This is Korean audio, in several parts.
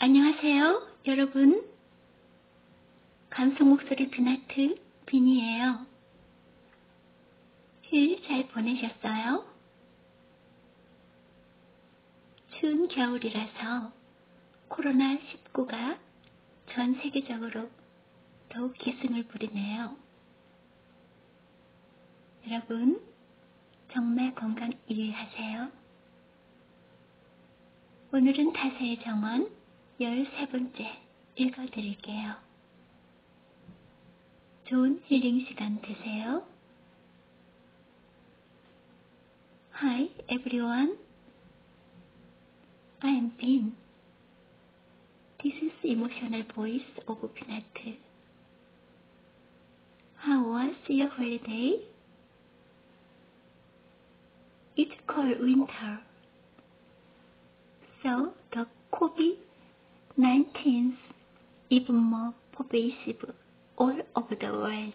안녕하세요, 여러분. 감성 목소리 비나트 비니예요. 휴일 잘 보내셨어요? 추운 겨울이라서 코로나19가 전 세계적으로 더욱 기승을 부리네요. 여러분, 정말 건강 유의하세요. 오늘은 다세의 정원 13번째 읽어드릴게요. 좋은 힐링 시간 되세요. Hi everyone, I am Bin. This is emotional voice of Pinatu. How was your holiday? It's cold winter, so the COVID-19 is more pervasive all over the world.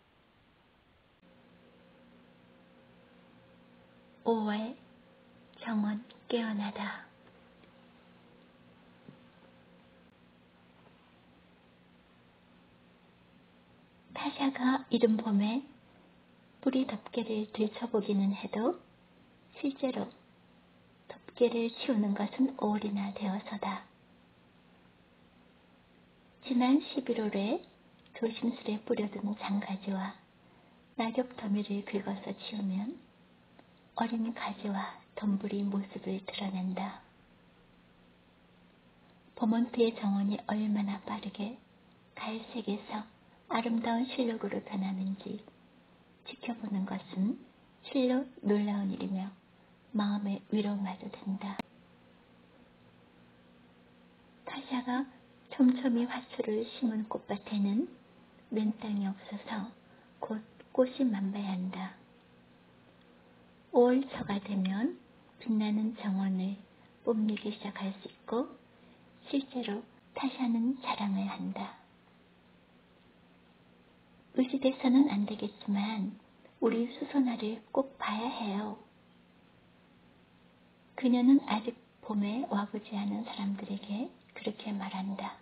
5월 정원 깨어나다 타샤가 이른 봄에 뿌리 덮개를 들춰보기는 해도 실제로 덮개를 치우는 것은 오월이나 되어서다. 지난 11월에 조심스레 뿌려둔 장가지와 낙엽 더미를 긁어서 치우면 어린 가지와 덤불이 모습을 드러낸다. 버몬트의 정원이 얼마나 빠르게 갈색에서 아름다운 실록으로 변하는지 지켜보는 것은 실로 놀라운 일이며 마음의 위로마저 된다. 타샤가 촘촘히 화초를 심은 꽃밭에는 는 땅이 없어서 곧 꽃이 만발한다. 5월 초가 되면 빛나는 정원을 뽐내기 시작할 수 있고 실제로 타샤는 자랑을 한다. 의식에서는 안 되겠지만 우리 수선화를 꼭 봐야 해요. 그녀는 아직 봄에 와보지 않은 사람들에게 그렇게 말한다.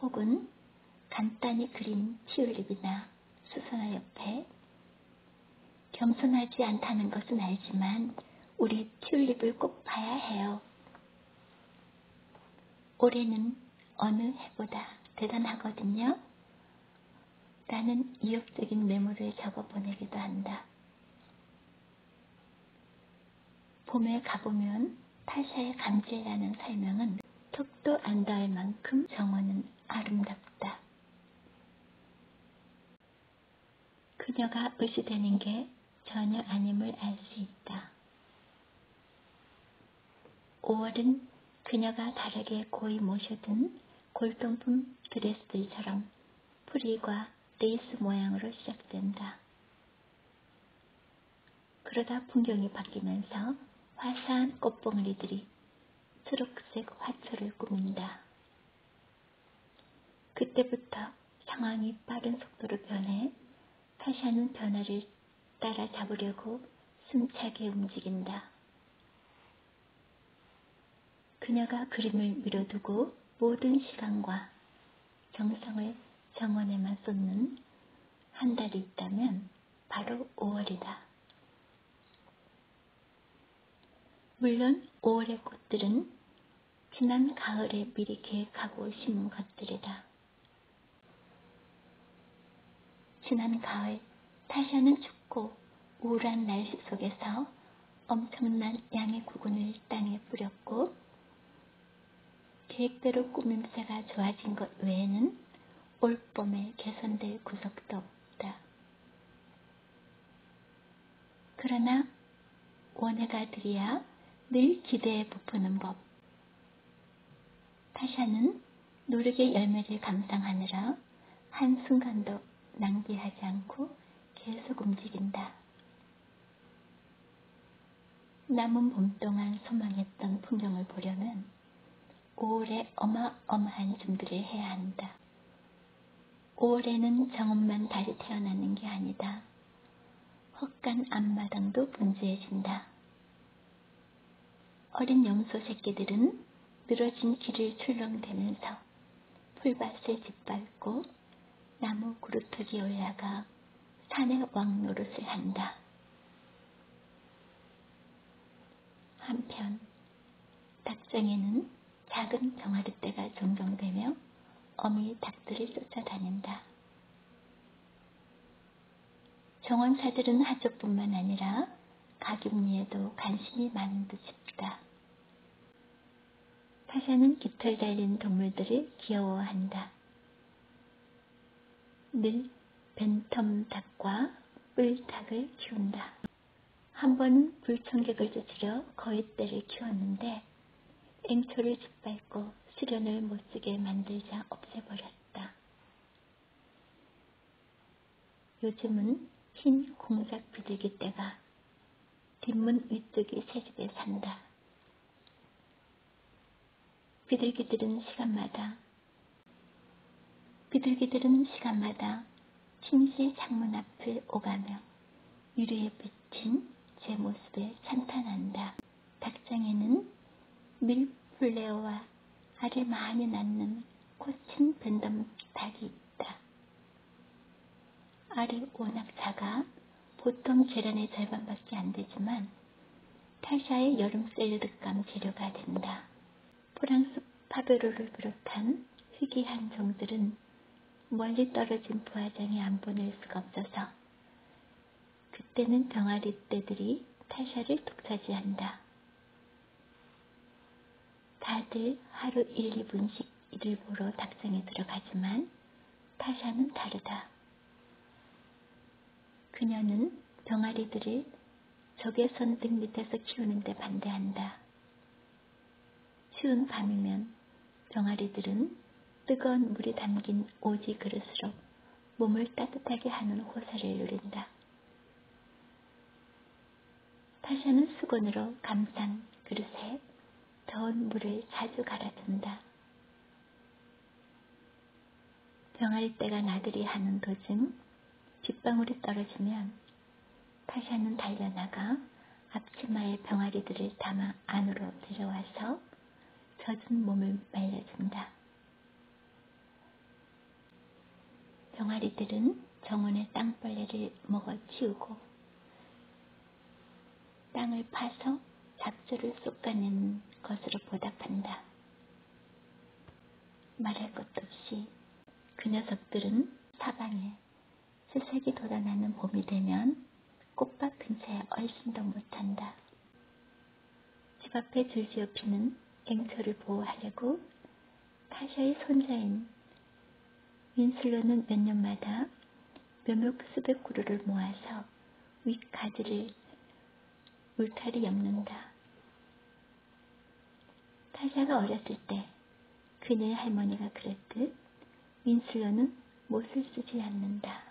혹은 간단히 그린 티올립이나 수선화 옆에 겸손하지 않다는 것은 알지만 우리 튤립을 꼭 봐야 해요. 올해는 어느 해보다 대단하거든요. 나는 이역적인 매물을 접어 보내기도 한다. 봄에 가보면 타샤의 감지라는 설명은 턱도 안 닿을 만큼 정원은 아름답다. 그녀가 의시되는 게 전혀 아님을 알 수 있다. 5월은 그녀가 다르게 고이 모셔든 골동품 드레스들처럼 프리과 레이스 모양으로 시작된다. 그러다 풍경이 바뀌면서 화사한 꽃봉오리들이 초록색 화초를 꾸민다. 그때부터 상황이 빠른 속도로 변해 카샤는 변화를 따라잡으려고 숨차게 움직인다. 그녀가 그림을 밀어두고 모든 시간과 정성을 정원에만 쏟는 한 달이 있다면 바로 5월이다. 물론 5월의 꽃들은 지난 가을에 미리 계획하고 심은 것들이다. 지난 가을 타샤는 춥고 우울한 날씨 속에서 엄청난 양의 구근을 땅에 뿌렸고 계획대로 꾸냄새가 좋아진 것 외에는 올 봄에 개선될 구석도 없다. 그러나 원예가들이야 늘 기대에 부푸는 법. 타샤는 노르의 열매를 감상하느라 한순간도 낭비하지 않고 계속 움직인다. 남은 봄 동안 소망했던 풍경을 보려면 5월에 어마어마한 준비를 해야 한다. 5월에는 정원만 다시 태어나는 게 아니다. 헛간 앞마당도 분주해진다. 어린 염소 새끼들은 늘어진 길을 출렁대면서 풀밭을 짓밟고 나무 구루터기 올라가 산의 왕노릇을 한다. 한편 닭장에는 작은 병아리떼가 종종되며 어미 닭들을 쫓아다닌다. 정원사들은 하쪽뿐만 아니라 가격리에도 관심이 많은 듯 싶다. 파사는 깃털 달린 동물들을 귀여워한다. 늘 벤텀 닭과 뿔 닭을 키운다. 한 번은 불청객을 쫓으려 거위떼를 키웠는데 앵초를 짓밟고 수련을 못쓰게 만들자 없애버렸다. 요즘은 흰 공작 비둘기 떼가 뒷문 위쪽의 새집에 산다. 비둘기들은 시간마다 비둘기들은 시간마다 침실 창문 앞을 오가며 유리에 비친 제 모습에 찬탄한다. 닭장에는 밀플레어와 알을 많이 낳는 꽃은 벤덤 닭이 있다. 알이 워낙 작아 보통 계란의 절반밖에 안 되지만 타샤의 여름 샐러드감 재료가 된다. 프랑스 파베로를 비롯한 희귀한 종들은 멀리 떨어진 부화장에 안 보낼 수가 없어서 그때는 병아리 떼들이 타샤를 독차지한다. 다들 하루 1, 2분씩 이를 보러 닭장에 들어가지만 타샤는 다르다. 그녀는 병아리들을 적의 선등 밑에서 키우는데 반대한다. 추운 밤이면 병아리들은 뜨거운 물이 담긴 오지 그릇으로 몸을 따뜻하게 하는 호사를 누린다. 다시 하는 수건으로 감싼 그릇에 더운 물을 자주 갈아둔다. 병할 때가 나들이 하는 도중 빗방울이 떨어지면 다시 하는 달려나가 앞치마에 병아리들을 담아 안으로 들어와서 젖은 몸을 말려준다. 병아리들은 정원의 땅벌레를 먹어 치우고 땅을 파서 잡초를 쏟아내는 것으로 보답한다. 말할 것도 없이 그 녀석들은 사방에 수색이 돌아나는 봄이 되면 꽃밭 근처에 얼씬도 못한다. 집 앞에 줄지어 피는 앵초를 보호하려고 파샤의 손자인 윈슬로는 몇 년마다 몇몇 수백 그루를 모아서 윗가지를 울타리 엮는다. 파샤가 어렸을 때 그녀의 할머니가 그랬듯 윈슬로는 못을 쓰지 않는다.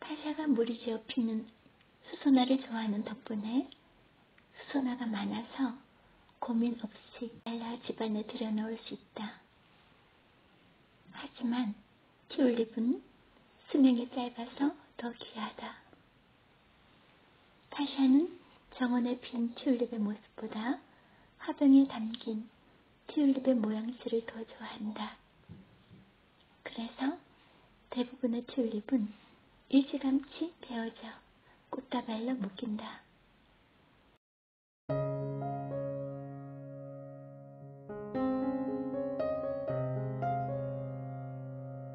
팔사가 물이 지어 피는 수소나를 좋아하는 덕분에 수소나가 많아서 고민 없이 잘라 집안에 들여놓을 수 있다. 하지만 튤립은 수명이 짧아서 더 귀하다. 타샤는 정원에 핀 튤립의 모습보다 화병에 담긴 튤립의 모양새를 더 좋아한다. 그래서 대부분의 튤립은 일찌감치 베어져 꽃다발로 묶인다.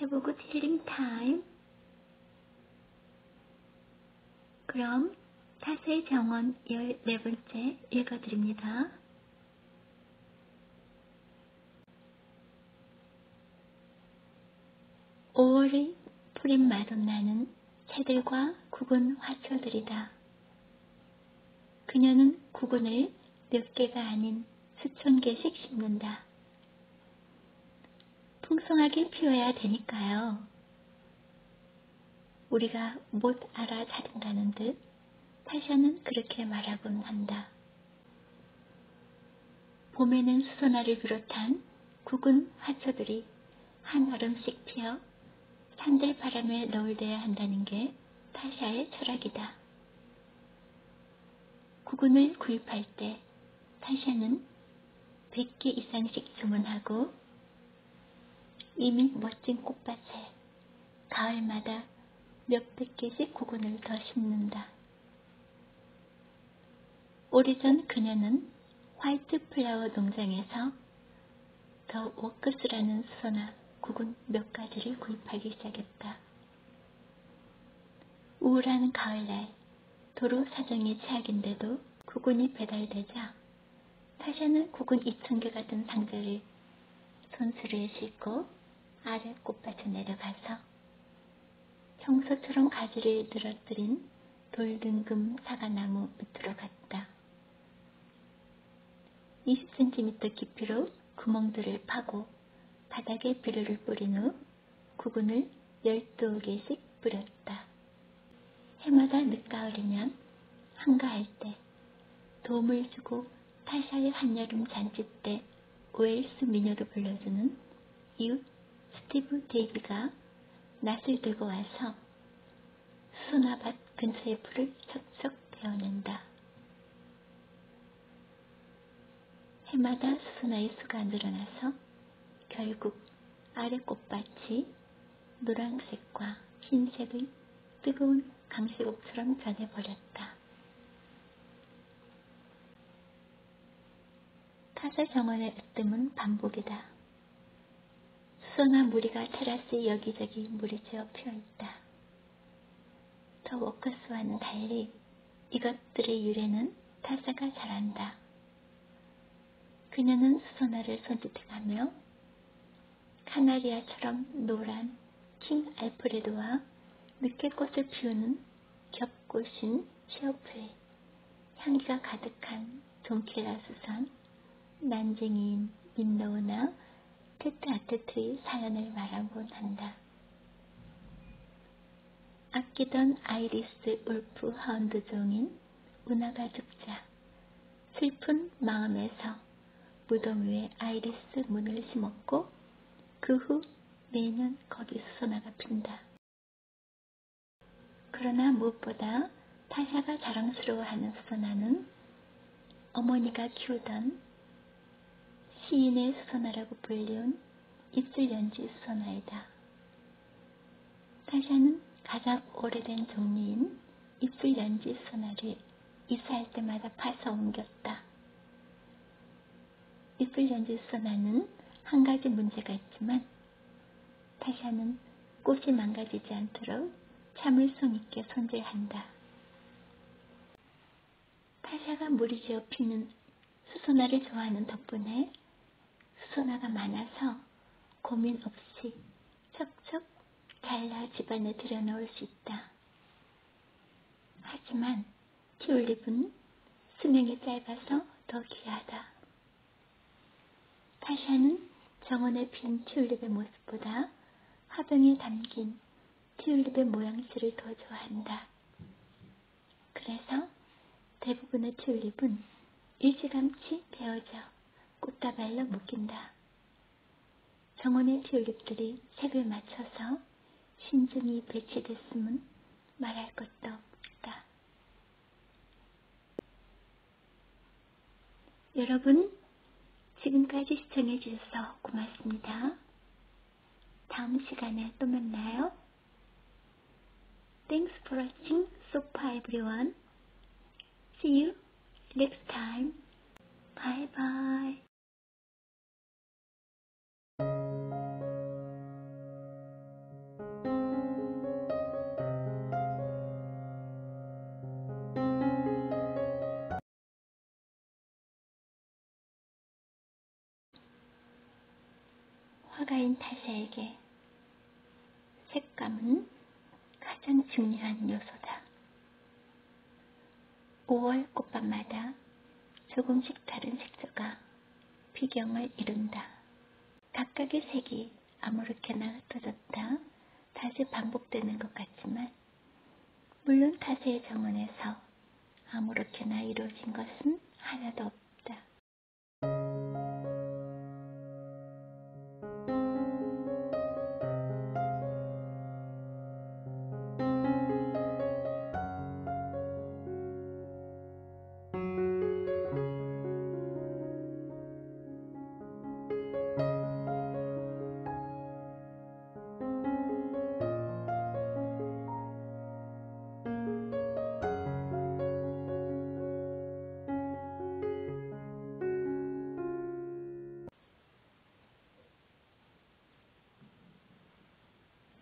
해보고 힐링 타임. 그럼 사세의 정원 14번째 읽어드립니다. 오월이 푸린 마돈나는 새들과 구군 화초들이다. 그녀는 구군을 몇 개가 아닌 수천 개씩 심는다. 풍성하게 피워야 되니까요. 우리가 못 알아차린다는 듯 파샤는 그렇게 말하곤 한다. 봄에는 수선화를 비롯한 구은 화초들이 한 얼음씩 피어 산들 바람에 노을돼야 한다는 게 파샤의 철학이다. 구근을 구입할 때 타샤는 100개 이상씩 주문하고 이미 멋진 꽃밭에 가을마다 몇백 개씩 구근을 더 심는다. 오래전 그녀는 화이트 플라워 농장에서 더 워크스라는 수선화 구근 몇 가지를 구입하기 시작했다. 우울한 가을날 도로 사정이 최악인데도 구근이 배달되자 타샤는 구근 2,000개가 든 상자를 손수레에 싣고 아래 꽃밭에 내려가서 평소처럼 가지를 늘어뜨린 돌등금 사과나무 밑으로 갔다. 20cm 깊이로 구멍들을 파고 바닥에 비료를 뿌린 후 구근을 12개씩 뿌렸다. 해마다 늦가을이면 한가할 때 도움을 주고 타샤의 한여름 잔치 때 웨일스 미녀로 불려주는 이웃 스티브 데이비가 낫을 들고 와서 수나밭 근처의 풀을 척척 베어낸다. 해마다 수수나 이수가 늘어나서 결국 아래 꽃밭이 노란색과 흰색의 뜨거운 강시옥처럼 변해버렸다. 타사 정원의 으뜸은 반복이다. 수선화 무리가 테라스 여기저기 무리지어 피어있다. 저 워크스와는 달리 이것들의 유래는 타자가 잘한다. 그녀는 수선화를 손짓해가며 카나리아처럼 노란 킹 알프레도와 늦게 꽃을 피우는 겹꽃인 시어프에 향기가 가득한 돈케라 수선, 난쟁이인 민노우나 테트 아테트의 사연을 말하곤 한다. 아끼던 아이리스 울프 하운드 종인 운하가죽자 슬픈 마음에서 무덤 위에 아이리스 문을 심었고 그 후 매년 거기 수선화가 핀다. 그러나 무엇보다 타샤가 자랑스러워하는 수선화는 어머니가 키우던 시인의 수선화라고 불리운 입술연지 수선화이다. 타샤는 가장 오래된 종류인 입술연지 수선화를 이사할 때마다 파서 옮겼다. 입술연지 수선화는 한 가지 문제가 있지만 타샤는 꽃이 망가지지 않도록 참을성 있게 손질한다. 파샤가 물이 지어 피는 수소나를 좋아하는 덕분에 수소나가 많아서 고민 없이 척척 갈라 집안에 들여놓을 수 있다. 하지만 튤립은 수명이 짧아서 더 귀하다. 파샤는 정원에 핀 튤립의 모습보다 화병에 담긴 튤립의 모양새를 더 좋아한다. 그래서 대부분의 튤립은 일찌감치 베어져 꽃다발로 묶인다. 정원의 튤립들이 색을 맞춰서 신중히 배치됐음은 말할 것도 없다. 여러분, 지금까지 시청해주셔서 고맙습니다. 다음 시간에 또 만나요. Thanks for watching so Sopa everyone. See you next time. Bye bye. 화가인 타샤에게 색감은 가장 중요한 요소다. 5월 꽃밤마다 조금씩 다른 색조가 비경을 이룬다. 각각의 색이 아무렇게나 흩어졌다. 다시 반복되는 것 같지만 정말 물론 타세의 정원에서 아무렇게나 이루어진 것은 하나도 없다.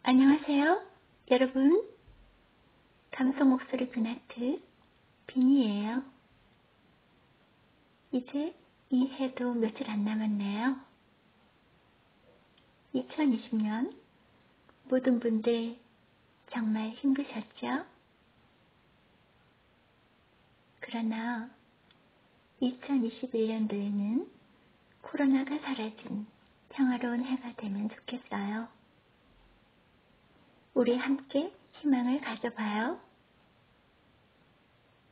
안녕하세요, 여러분. 감성 목소리 그나트 비니예요. 이제 이 해도 며칠 안 남았네요. 2020년 모든 분들 정말 힘드셨죠? 그러나 2021년도에는 코로나가 사라진 평화로운 해가 되면 좋겠어요. 우리 함께 희망을 가져봐요.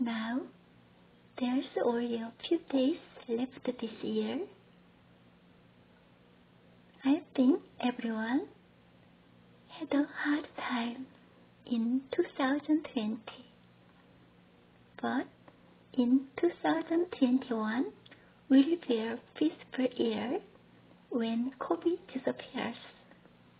Now, there's only a few days left this year. I think everyone had a hard time in 2020. But in 2021 we will have a peaceful year when COVID disappears.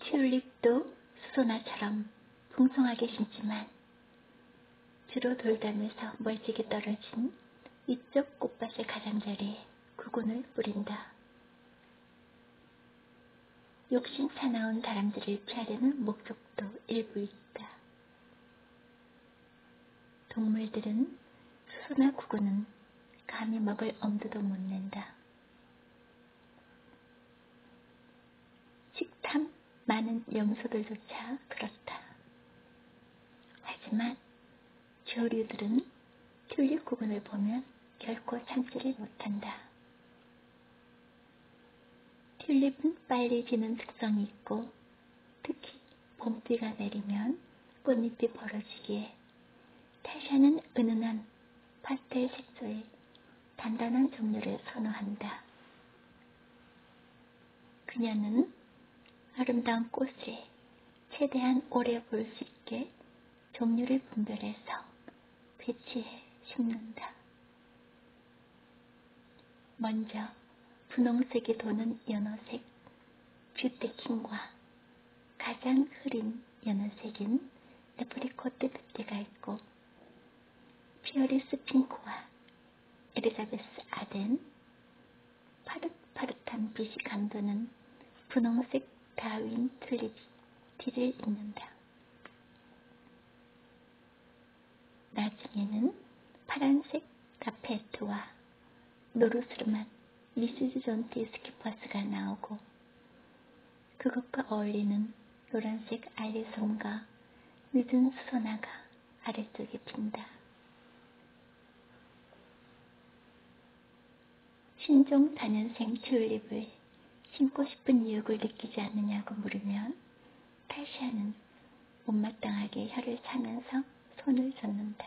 튤립도 수소나처럼 풍성하게 심지만 뒤로 돌다면서 멀찍이 떨어진 이쪽 꽃밭의 가장자리에 구근을 뿌린다. 욕심 차나온 바람들을 피하려는 목적도 일부 있다. 동물들은 수수나 구구는 감히 먹을 엄두도 못 낸다. 식탐 많은 염소들조차 그렇다. 하지만 조류들은 튤립 구근을 보면 결코 참지를 못한다. 튤립은 빨리 지는 특성이 있고 특히 봄비가 내리면 꽃잎이 벌어지기에 태샤는 은은한 파스텔 색조의 단단한 종류를 선호한다. 그녀는 아름다운 꽃에 최대한 오래 볼 수 있게 종류를 분별해서 배치해 심는다. 먼저 분홍색이 도는 연어색 뷰테킹과 가장 흐린 연어색인 에프리코트 뷰티가 있고 피어리스 핑크와 에리자베스 아덴 파릇파릇한 빛이 감도는 분홍색 다윈 튤립 티를 잇는다. 나중에는 파란색 카페트와 노릇으로만 미시즈 존티 스키퍼스가 나오고 그것과 어울리는 노란색 알리송과 늦은 수선화가 아래쪽에 핀다. 신종 단연생 튤립을 심고 싶은 이유를 느끼지 않느냐고 물으면 파시아는 못마땅하게 혀를 차면서 손을 젓는다.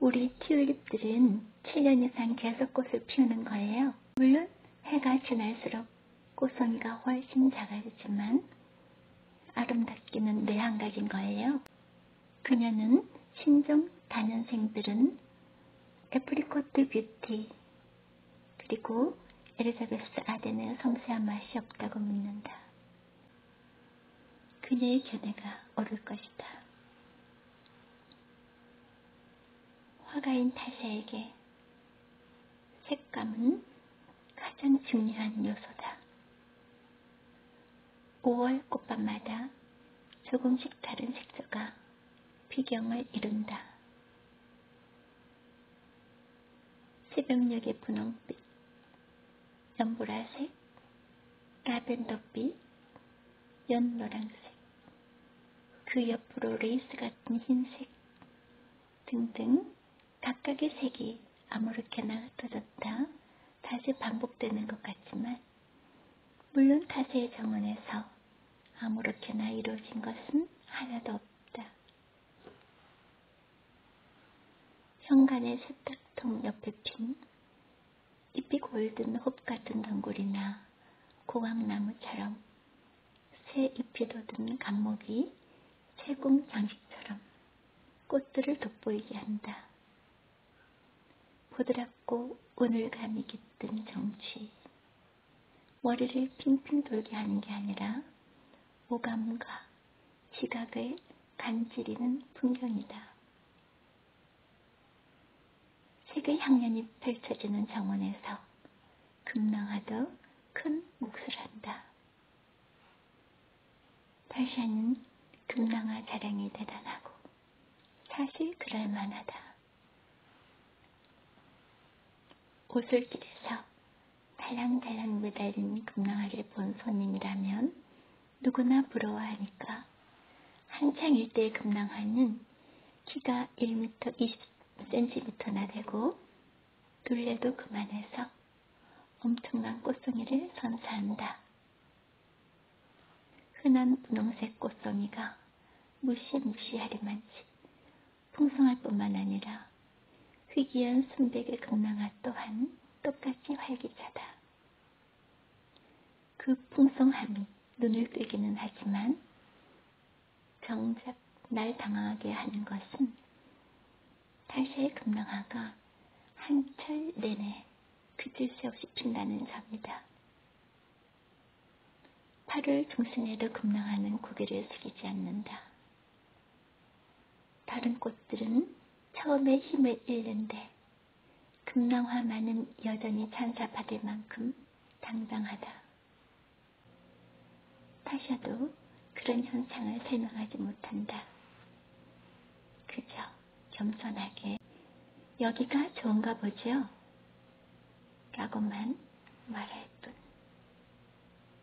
우리 튤립들은 7년 이상 계속 꽃을 피우는 거예요. 물론 해가 지날수록 꽃송이가 훨씬 작아지지만 아름답기는 매한가지인 거예요. 그녀는 신종 단연생들은 애프리코트 뷰티 그리고 엘리자베스 아내는 섬세한 맛이 없다고 묻는다. 그녀의 견해가 옳을 것이다. 화가인 타샤에게 색감은 가장 중요한 요소다. 5월 꽃밤마다 조금씩 다른 색조가 비경을 이룬다. 새벽녘의 분홍빛, 연보라색, 라벤더빛, 연노랑색, 그 옆으로 레이스 같은 흰색 등등 각각의 색이 아무렇게나 흩어졌다 다시 반복되는 것 같지만 물론 타세의 정원에서 아무렇게나 이루어진 것은 하나도 없다. 현관의 세탁통 옆에 핀 잎이 골든 홉 같은 덩굴이나 고황나무처럼 새 잎이 돋은 감목이 새공 장식처럼 꽃들을 돋보이게 한다. 보드랍고 오늘감이 깃든 정취, 머리를 핑핑 돌게 하는 게 아니라 오감과 시각을 간지리는 풍경이다. 색의 향연이 펼쳐지는 정원에서 금낭하듯 큰 몫을 한다. 발샤는 금낭아 자랑이 대단하고 사실 그럴만하다. 오솔길에서 달랑달랑 매달린 금낭아를 본 손님이라면 누구나 부러워하니까 한창 일대의 금낭아는 키가 1m 20cm나 되고 둘레도 그만해서 엄청난 꽃송이를 선사한다. 흔한 분홍색 꽃송이가 무시무시하리만치 풍성할 뿐만 아니라 희귀한 순백의 극락아 또한 똑같이 활기차다. 그 풍성함이 눈을 뜨기는 하지만 정작 날 당황하게 하는 것은 탈세의 금랑아가 한철 내내 그칠 새 없이 핀다는 점이다. 팔을 중심에도 급랑하는 고개를 숙이지 않는다. 다른 꽃들은 처음에 힘을 잃는데 금랑화만은 여전히 찬사받을 만큼 당당하다. 타샤도 그런 현상을 설명하지 못한다. 그저 겸손하게 여기가 좋은가 보죠? 라고만 말할 뿐.